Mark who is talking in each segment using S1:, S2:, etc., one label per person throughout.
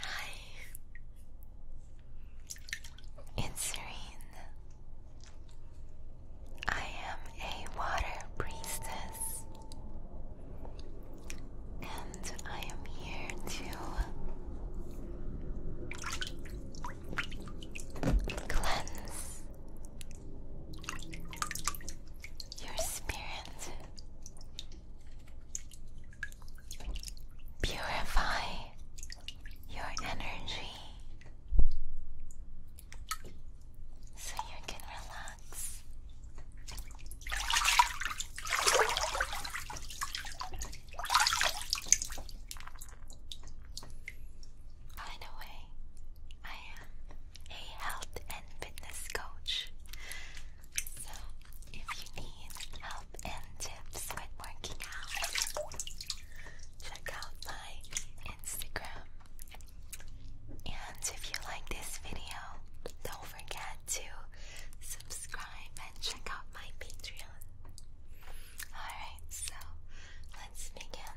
S1: Hi, it's Serene. I am a water priestess, and I am here to cleanse your spirit. Purify your energy so you can relax. By the way, I am a health and fitness coach. So, if you need help and tips with working out, check out my Instagram. And if you like this video, don't forget to subscribe and check out my Patreon. Alright, so let's begin.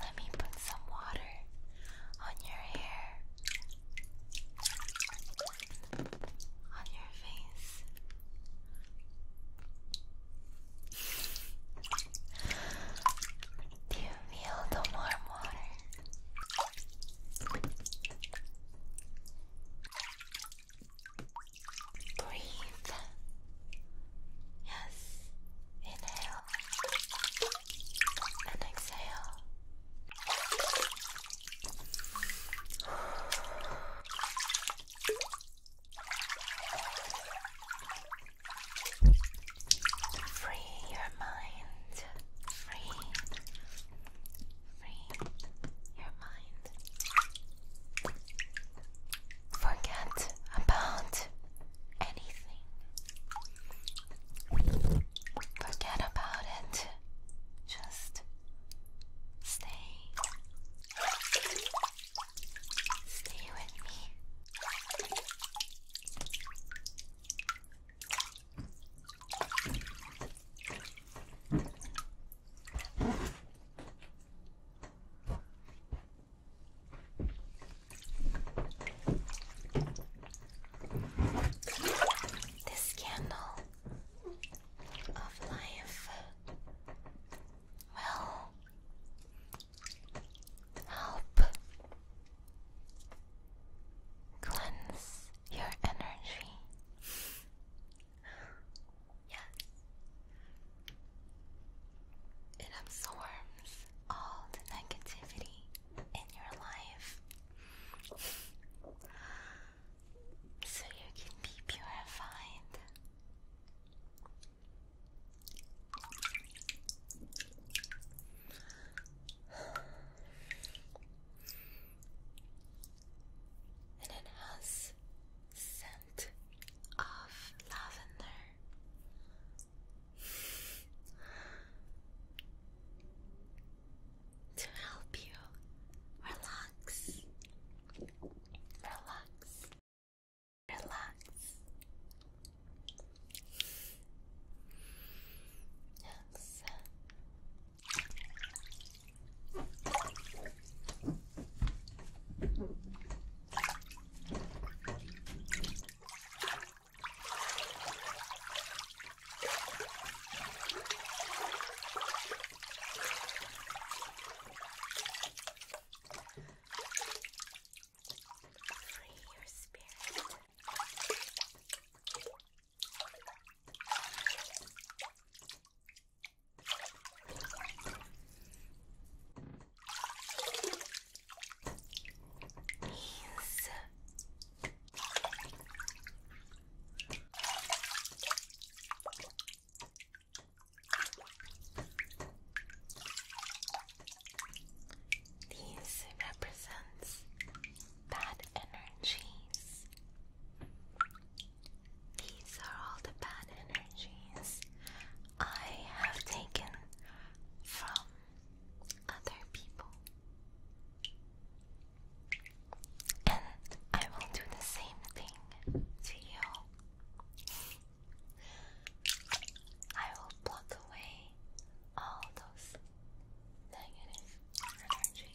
S1: Let me put some water on your hair, on your face. Do you feel the warm water? Breathe. Yes. Inhale and exhale. Free your mind. Free. Free your mind. Forget about anything. Forget about it. Just stay. Stay with me. This candle of life. Well, help cleanse your energy yes. It absorbs all the negativity in your life. So you can be purified.
S2: And it has scent of
S1: lavender. To help you relax, relax, relax. Yes. Free your spirit is these represents bad energies these are all the bad energies I have taken from other people. And I will do the same thing to you. I will block away all those negative energy.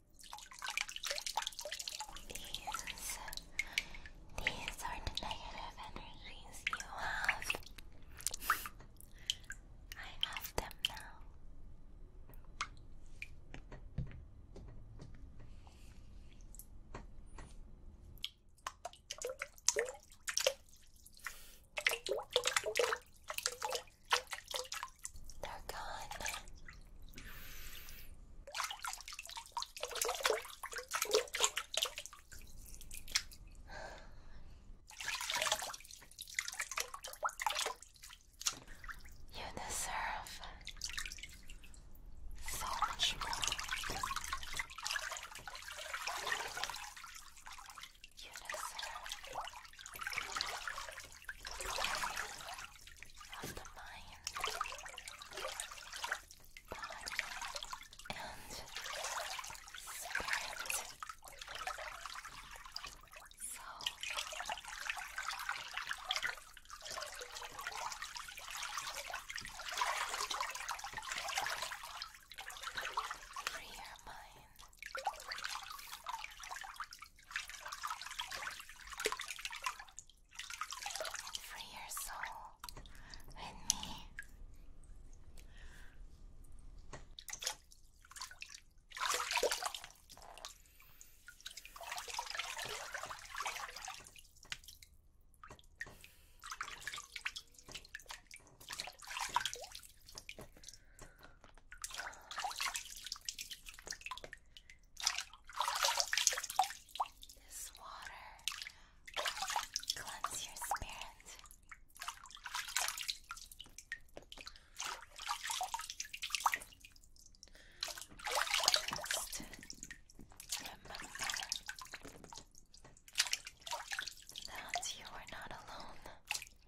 S1: These, these are the negative energies you have. I have them now. They're gone. You deserve so much more. You
S2: deserve of the mind, body, and spirit. So, free your mind. Free your soul with me. This water will your spirit. Just remember that you are not alone. I you.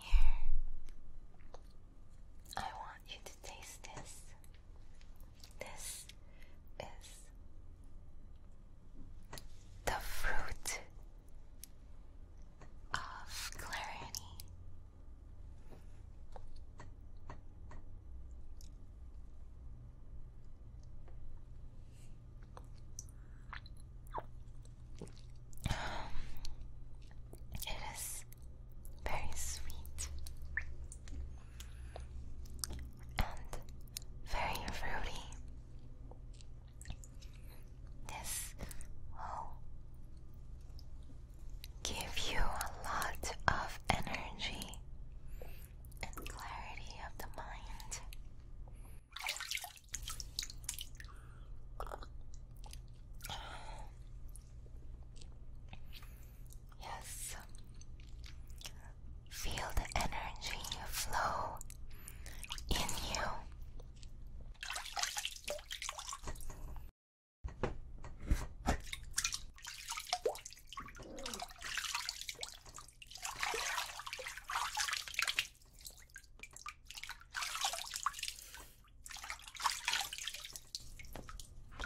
S2: Here, I want you to taste this. This is the fruit of clarity.
S1: Um, it is very sweet and very fruity. This will give you a lot of energy and clarity of the mind. Yes. Feel the energy
S2: flow in you. Yes.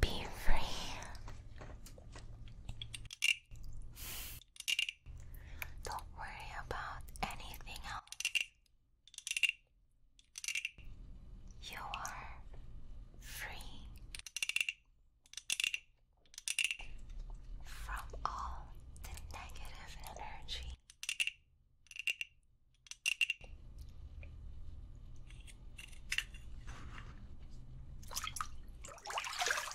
S1: Be free. Don't worry about anything else. You are free from all the negative energy.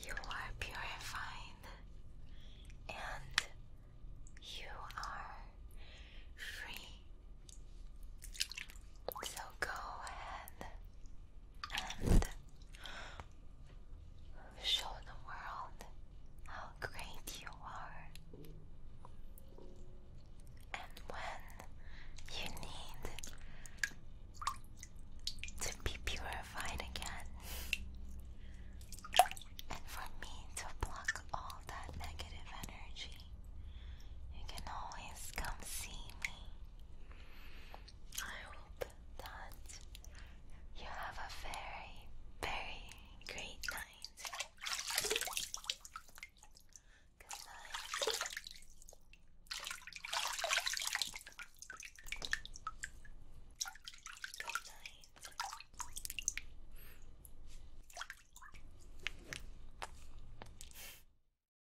S1: You are purified and you are free. So go ahead and show the world how great you are. And when you need to be purified again, and for me to block all that negative energy, you can always come see me. I hope that you have a very, very great night. Good night. Good night.